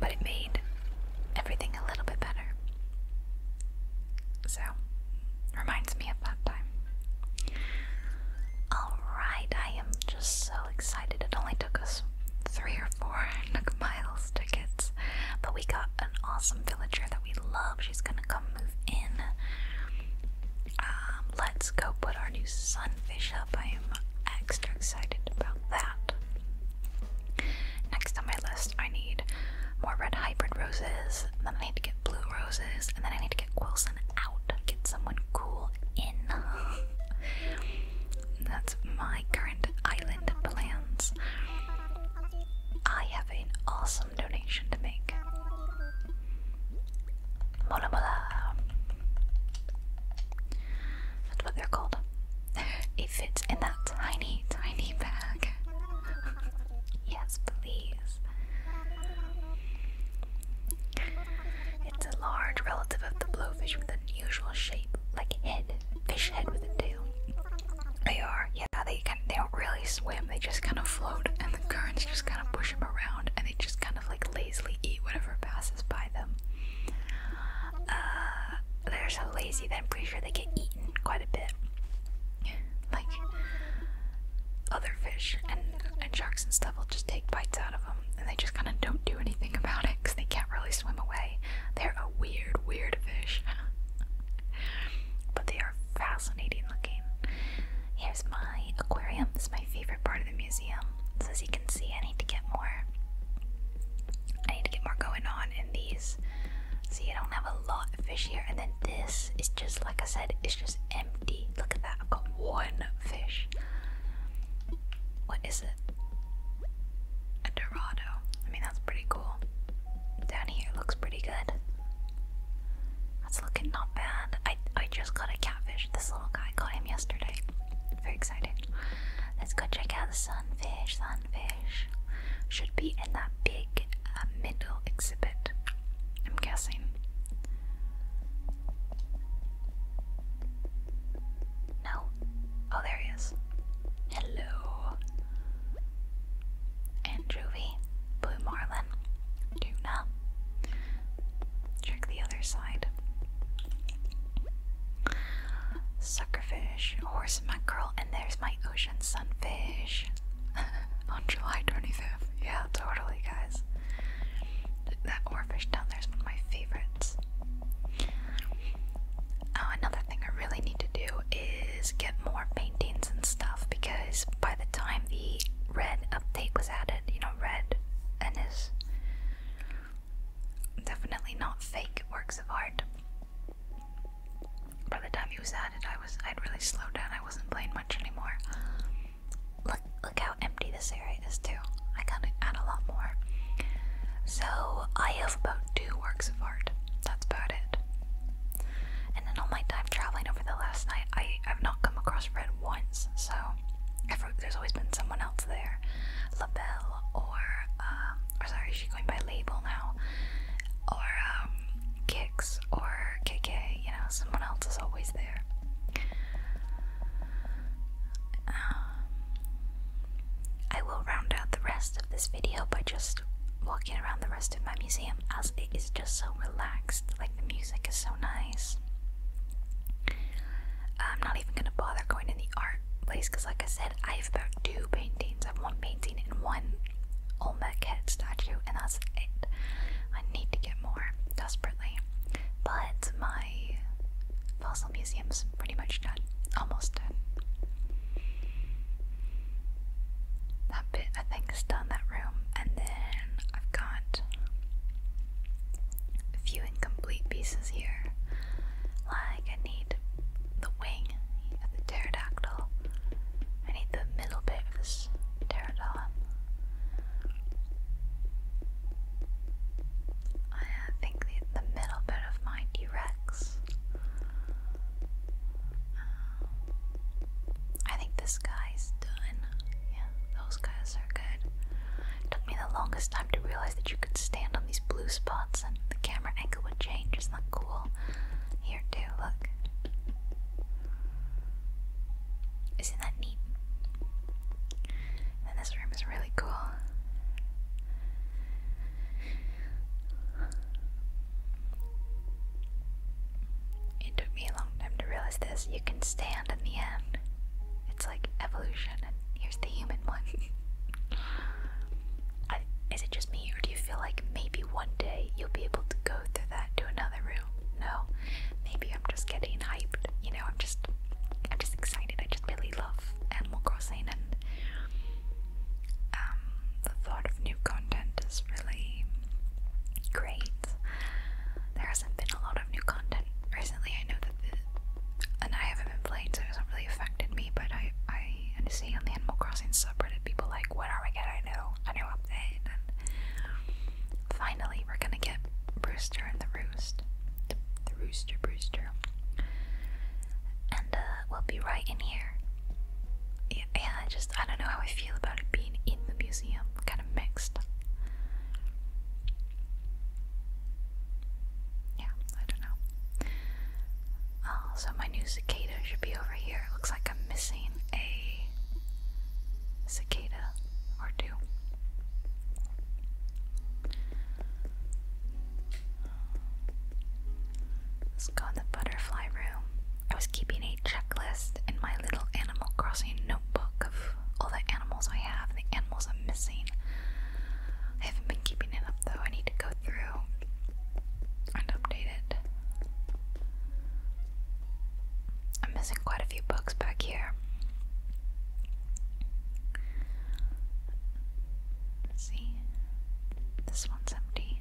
but it made everything a little bit better. So, reminds me of that time. Alright, I am just so excited. It only took us three or four *laughs* Nook Miles tickets, but we got an awesome villager that we love. She's gonna come move in. Um, let's go put our new sunfish up. I am extra excited about that. Next on my list, I need more red hybrid roses, then I need to get blue roses, and then I need to get Wilson out, get someone cool in. *laughs* That's my current island plans. I have an awesome donation to make. Mola That's what they're called. It fits in that tiny, tiny bag. yes, please. It's a large relative of the blowfish with an unusual shape, like a head, fish head with a tail. They are, yeah, they don't really swim, they just kind of float, and the currents just kind of push them around, and they just kind of like lazily eat whatever passes by them uh, they're so lazy that I'm pretty sure they get eaten quite a bit, like other fish and, and sharks and stuff will just take bites out of them and they just kind of don't do anything about it because they can't really swim away. They're a weird, weird fish, *laughs* but they are fascinating looking. Here's my aquarium. This is my favorite part of the museum. So as you can see, I need to get more. I need to get more going on in these. See, I don't have a lot of fish here. And then this is just, like I said, it's just empty. Look at that. I've got one fish. What is it? A Dorado. I mean, that's pretty cool. Down here looks pretty good. That's looking not bad. I, I just got a catfish. This little guy caught him yesterday very excited. Let's go check out the sunfish. Sunfish should be in that big uh, middle exhibit, I'm guessing. No? Oh, there he is. Hello. Andrewvy, blue marlin, tuna. Check the other side. Suckerfish, horse mackerel, and there's my ocean sunfish *laughs* on July 25th. Yeah, totally, guys. That oarfish down there is one of my favorites. Oh, another thing I really need to do is get more paintings and stuff because by the time the red update was added, you know, red and is definitely not fake works of art. By the time he was at I was I'd really slowed down. I wasn't playing much anymore. Look look how empty this area is too. I gotta add a lot more. So I have about two works of art. That's about it. And in all my time traveling over the last night, I have not come across Red once. So I've, there's always been someone else there. La Belle or um, or sorry, is going by label now? Or um, Kicks or KK, you know, someone else is always there. Um, I will round out the rest of this video by just walking around the rest of my museum as it is just so relaxed, like the music is so nice. I'm not even gonna bother going to the art place because, like I said, I have about two paintings. I have one painting and one Olmec head statue, and that's it. I need to get more desperately. But my fossil museum's pretty much done. Almost done. That bit, I think, is done, that room. And then I've got a few incomplete pieces here. Like, I need the wing of the pterodactyl. I need the middle bit of this pterodon. I uh, think the, middle bit of my T Rex. Um, I think this guy's done. Yeah, those guys are good. took me the longest time time to realize that you could stand on these blue spots and the camera angle would change. Isn't cool? Here too, look. Isn't that neat? And this room is really cool. It took me a long time to realize this. You can stand in the end. It's like evolution, here's the human one. *laughs* I, is it just me, or do you feel like maybe one day you'll be able to go through that to another room? No, maybe I'm just getting hyped. You know, I'm just, I'm just excited. I just really love Animal Crossing, and um, the thought of new content is really great. There hasn't been a lot of new content recently. I know that the and I haven't been playing, so it hasn't really affected me. But I, I, and see on the Animal Crossing subreddit, people like, "What are we going I know, A new update?" And finally, we're gonna get Brewster and the Roost, the, Rooster Brewster, and uh, we'll be right in here. Yeah, yeah, I just I don't know how I feel about it being in the museum. Kind of mixed. Yeah, I don't know. Oh, so my new cicada should be over here. It looks like I'm missing a cicada or two. Let's go in the butterfly room. I was keeping a checklist in my little Animal Crossing notebook of all the animals I have, the animals I'm missing. I haven't been keeping it up though. I need to go through and update I'm missing quite a few books back here. see, this one's empty,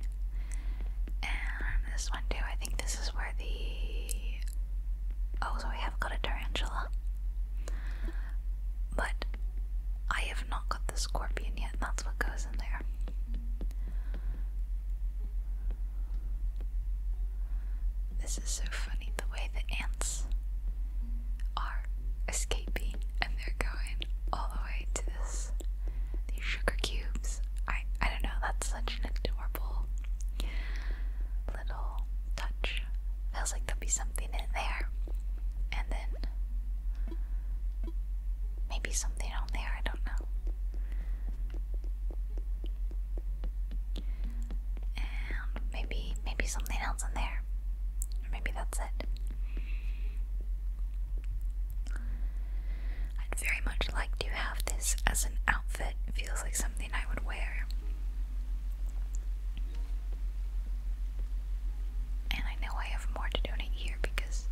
and this one too. I think this is where the oh, so we have got a tarantula, but I have not got the scorpion yet that's what goes in there. This is so funny the way the ants are escaping and they're going all the way to this these sugar cubes. I I don't know, that's such an adorable little touch. Feels like there'll be something in there. And then Maybe something on there, I don't know. And maybe maybe something else in there. Or maybe that's it. I'd very much like to have this as an outfit. feels like something I would wear. And I know I have more to donate here because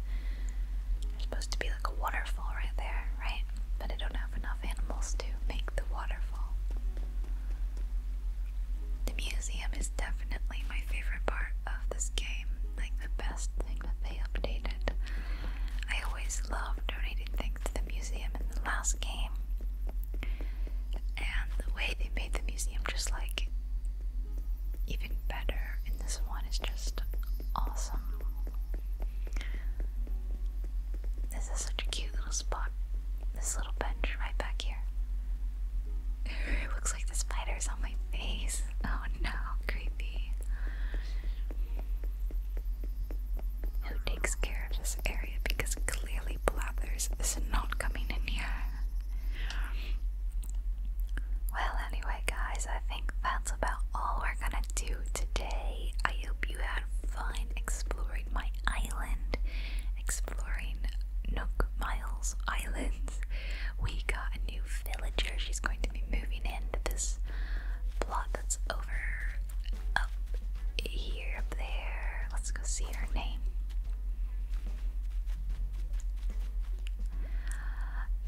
there's supposed to be like a waterfall right there, right? But I don't have enough animals to make the waterfall. The museum is definitely my favorite part of this game, like the best thing that they updated. I always loved donating things to the museum in the last game. And the way they made the museum just like even better, and this one is just awesome. This is such a cute little spot. This little bench right back here. *laughs* it looks like the spider's on my face. *laughs* Oh no, creepy. Who takes care of this area because clearly Blathers is not coming in here. Well, anyway, guys, I think that's about all we're gonna do today. I hope you had fun exploring my island, exploring Nook Miles Islands. We got a new villager, she's going to be moving into this plot that's over up here, up there. Let's go see her name.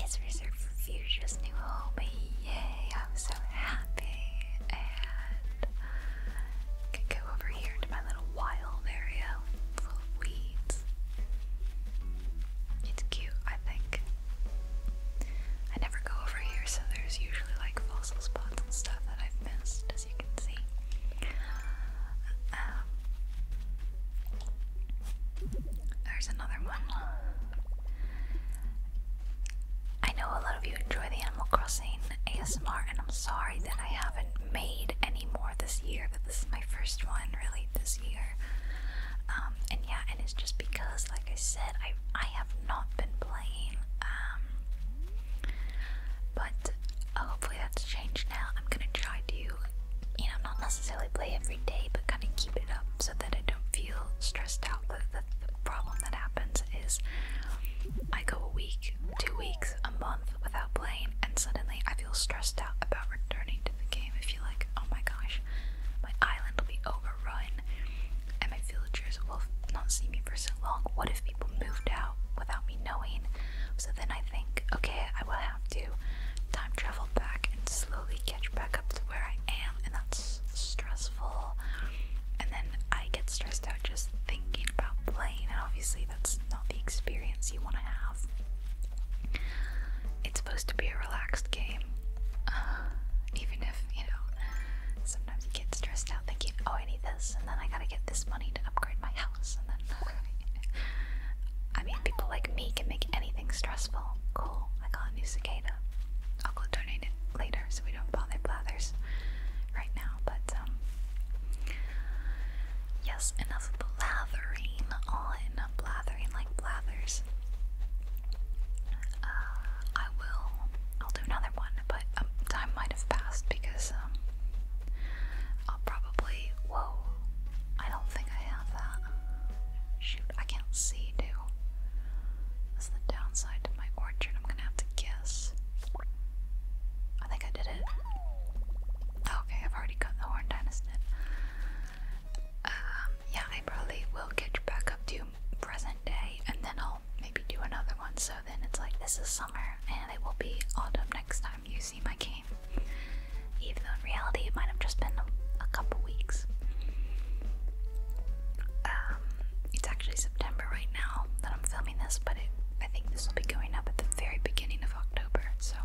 It's reserved for Future's new home. Yay! I'm so happy. can go over here to my little wild area full of weeds. It's cute, I think. I never go over here, so there's usually like fossil spots and stuff that I've missed, as you can see there's another one. I know a lot of you enjoy the Animal Crossing ASMR, and I'm sorry that I haven't made any more this year, but this is my first one really this year. Um, and yeah, and it's just because, like I said, I I have not been playing. Um, but uh, hopefully that's changed now. I'm gonna try to you know, not necessarily play every day, but kind of keep it up so that I don't feel stressed out. The, the, problem that happens is I go a week, two weeks, a month without playing, and suddenly I feel stressed out about returning to the game. I feel like, oh my gosh, my island will be overrun, and my villagers will not see me for so long. What if people moved out without me knowing? So then I think, okay, I will have have to time travel back and slowly catch back up to where I am, and that's stressful. And then I get stressed out just thinking about playing, and obviously, that's not the experience you want to have. It's supposed to be a relaxed game, *sighs* even if you know sometimes you get stressed out thinking, Oh, I need this, and then I gotta get this money to upgrade my house I mean people like me can make anything stressful. Cool. I got a new cicada. I'll go donate it later so we don't bother blathers right now, but um Yes, enough blathering All on blathering like blathers. Uh, I will. I'll do another one, but um, time might have passed because um, I'll probably. Whoa. I don't think I have that. Shoot, I can't see, too. That's the downside to my orchard. I'm gonna have to guess. I think I did it. Okay, I've already got the Horn Dynasty. Um, yeah, I probably will get back up to present day and then I'll maybe do another one. So then it's like this is summer and it will be autumn next time you see my game. Even though in reality it might have just been a, couple weeks. Um, it's actually September right now that I'm filming this, but I think this will be going up at the very beginning of October. So,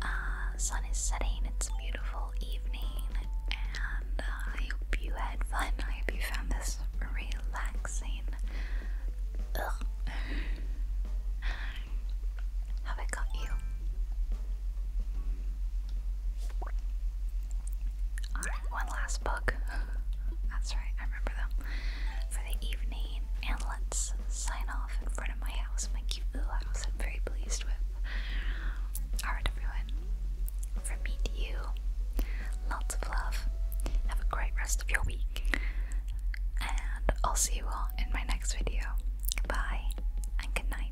uh, sun is setting. It's a beautiful evening, and I hope you had fun. I hope you found this relaxing. Have I got you? Alright, one last book. *laughs* That's right, I remember them. For the evening, and let's sign off in front of my house, my cute little house I'm very pleased with. Alright, everyone. From me you, lots of love. Have a great rest of your week and I'll see you all in my next video. Bye and good night.